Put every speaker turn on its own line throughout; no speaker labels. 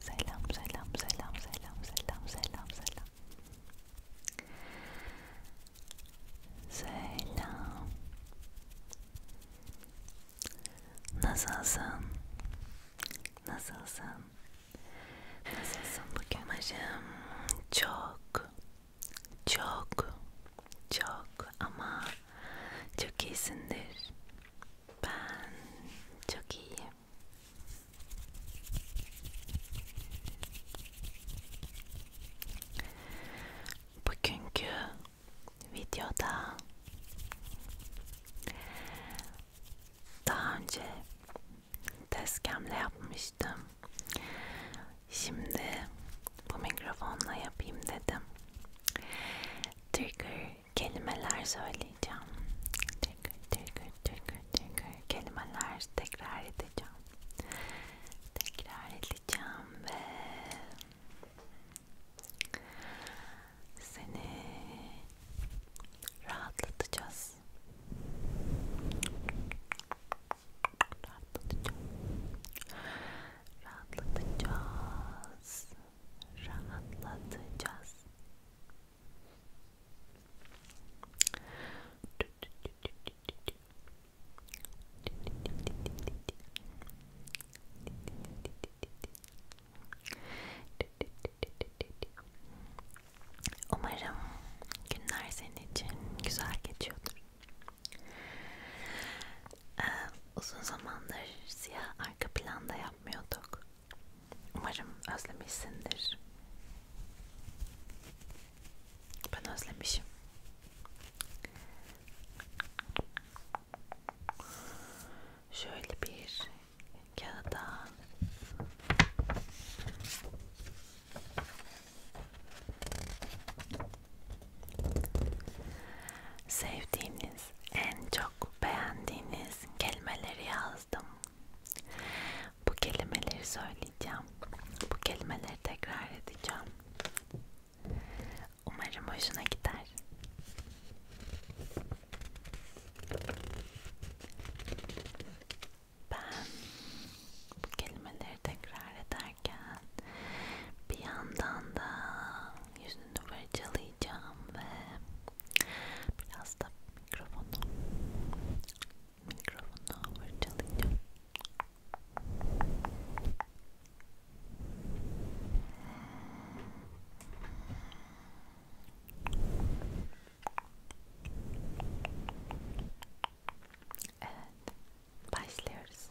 Selam selam selam selam selam selam selam. Selam. Nasılsın? Nasılsın? Nasılsın bugün? Amacım çok çok çok ama çok iyisindir. Ben çok iyiyim. Bugünkü videoda daha önce tezkemle yapmıştım. Şimdi bu mikrofonla yapayım dedim. Trigger kelimeler söyleyeceğim. Tekrar tekrar tekrar tekrar kelimeler tekrar edeceğim. Tekrar edeceğim ve seni rahatlatacağız. Rahatlatacağız. Rahatlatacağız rahatlatacağız. Umarım günler senin için güzel geçiyordur. Ee, uzun zamandır siyah arka planda yapmıyorduk. Umarım özlemişsindir. Ben özlemişim. Şöyle bir kağıda Sevdiğiniz, en çok beğendiğiniz kelimeleri yazdım. Bu kelimeleri söyleyeceğim. Bu kelimeleri tekrar edeceğim. Umarım hoşuna gider. Ben bu kelimeleri tekrar ederken bir yandan da yüzünü fırçalayacağım başlayacağım ve biraz da mikrofonu mikrofonu fırçalayacağım. Evet, başlıyoruz.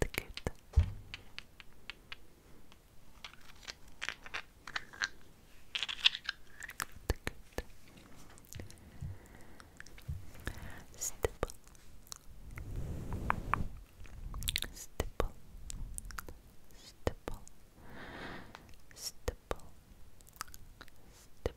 The good. The good. Stipple. Stipple. Stipple. Stipple. Stipple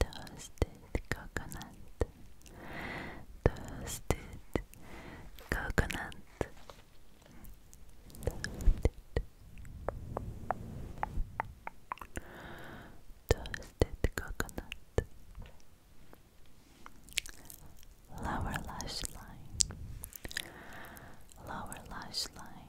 Toasted coconut. Toasted coconut. Toasted. coconut. Lower lash line. Lower lash line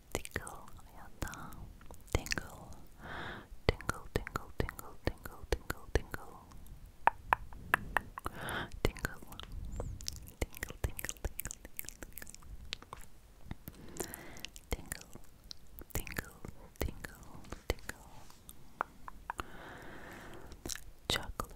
tingle, tingle, tingle, tingle, tingle, tingle, tingle, tingle, tingle, tingle, tingle, tingle, tingle, tingle, tingle, chocolate,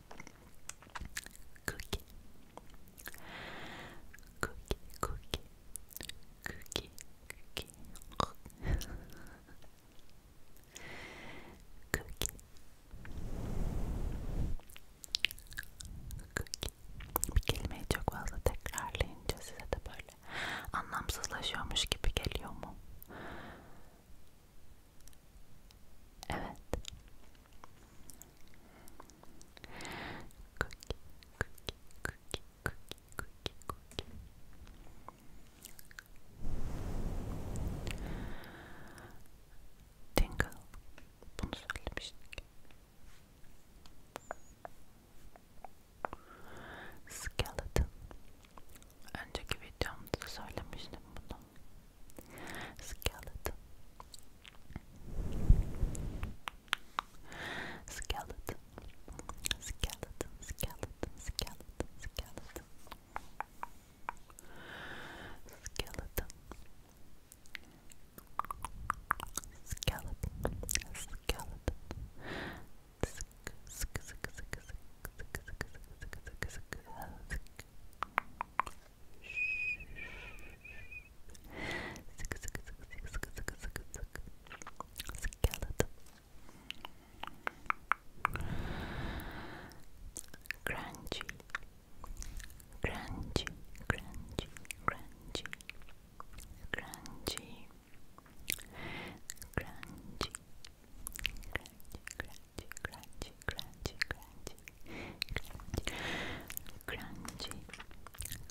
cookie, cookie, cookie, cookie, cookie, cookie. cookie. Cookie. Bir kelimeyi çok fazla tekrarlayınca size de böyle anlamsızlaşıyormuş gibi geliyor mu? Evet. Cookie, cookie, cookie, cookie, cookie, cookie. Tingle. Bunu söylemiştik. Skeleton. Önceki videomda söylemiştim bunu. skeleton skeleton skeleton skeleton skeleton skeleton skeleton skeleton skeleton skeleton skeleton Skeleton. Crunchy. Crunchy. Crunchy. Crunchy. Crunchy. Crunchy. Crunchy. Crunchy crunchy, crunchy, crunchy, crunchy, crunchy,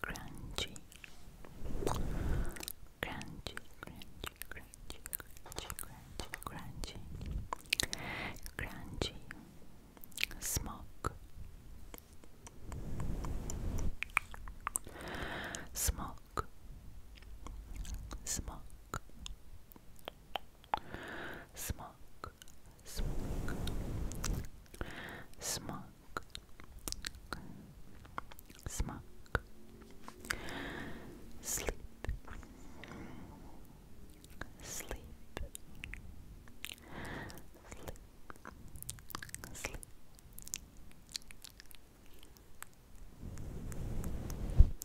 crunchy, crunchy, crunchy, crunchy, crunchy, crunchy, crunchy, smoke, smoke, smoke. Smoke, smoke, smoke, smoke, sleep, sleep, sleep, sleep. Sleep,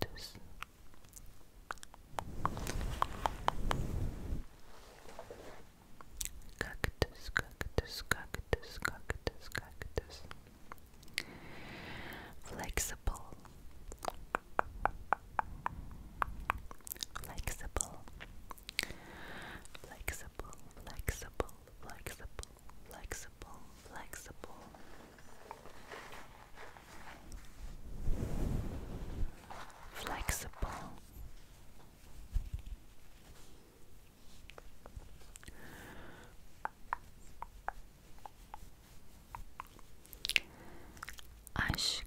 cactus. Cactus, cactus, cactus, cactus, Flexible. Flexible. Flexible, flexible, flexible, flexible, flexible. Flexible. Aşk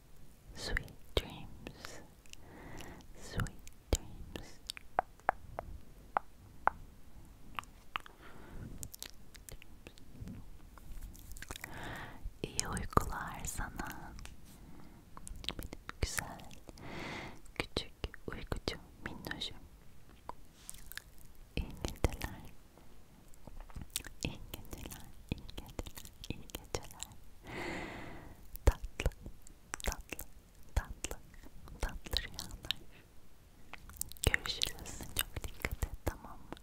Sweet dreams. Sweet dreams. İyi uykular sana. güzel, küçük uykucu minnoşum. İyi geceler. İyi geceler, iyi geceler, iyi geceler. Tatlı, tatlı, tatlı, tatlı rüyalar. Görüşürüz. Çok dikkat et tamam mı?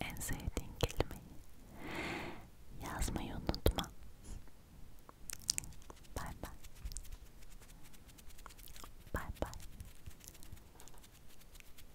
En sevdiğin kelimeyi yazmayı unutma. Bye bye. Bye bye.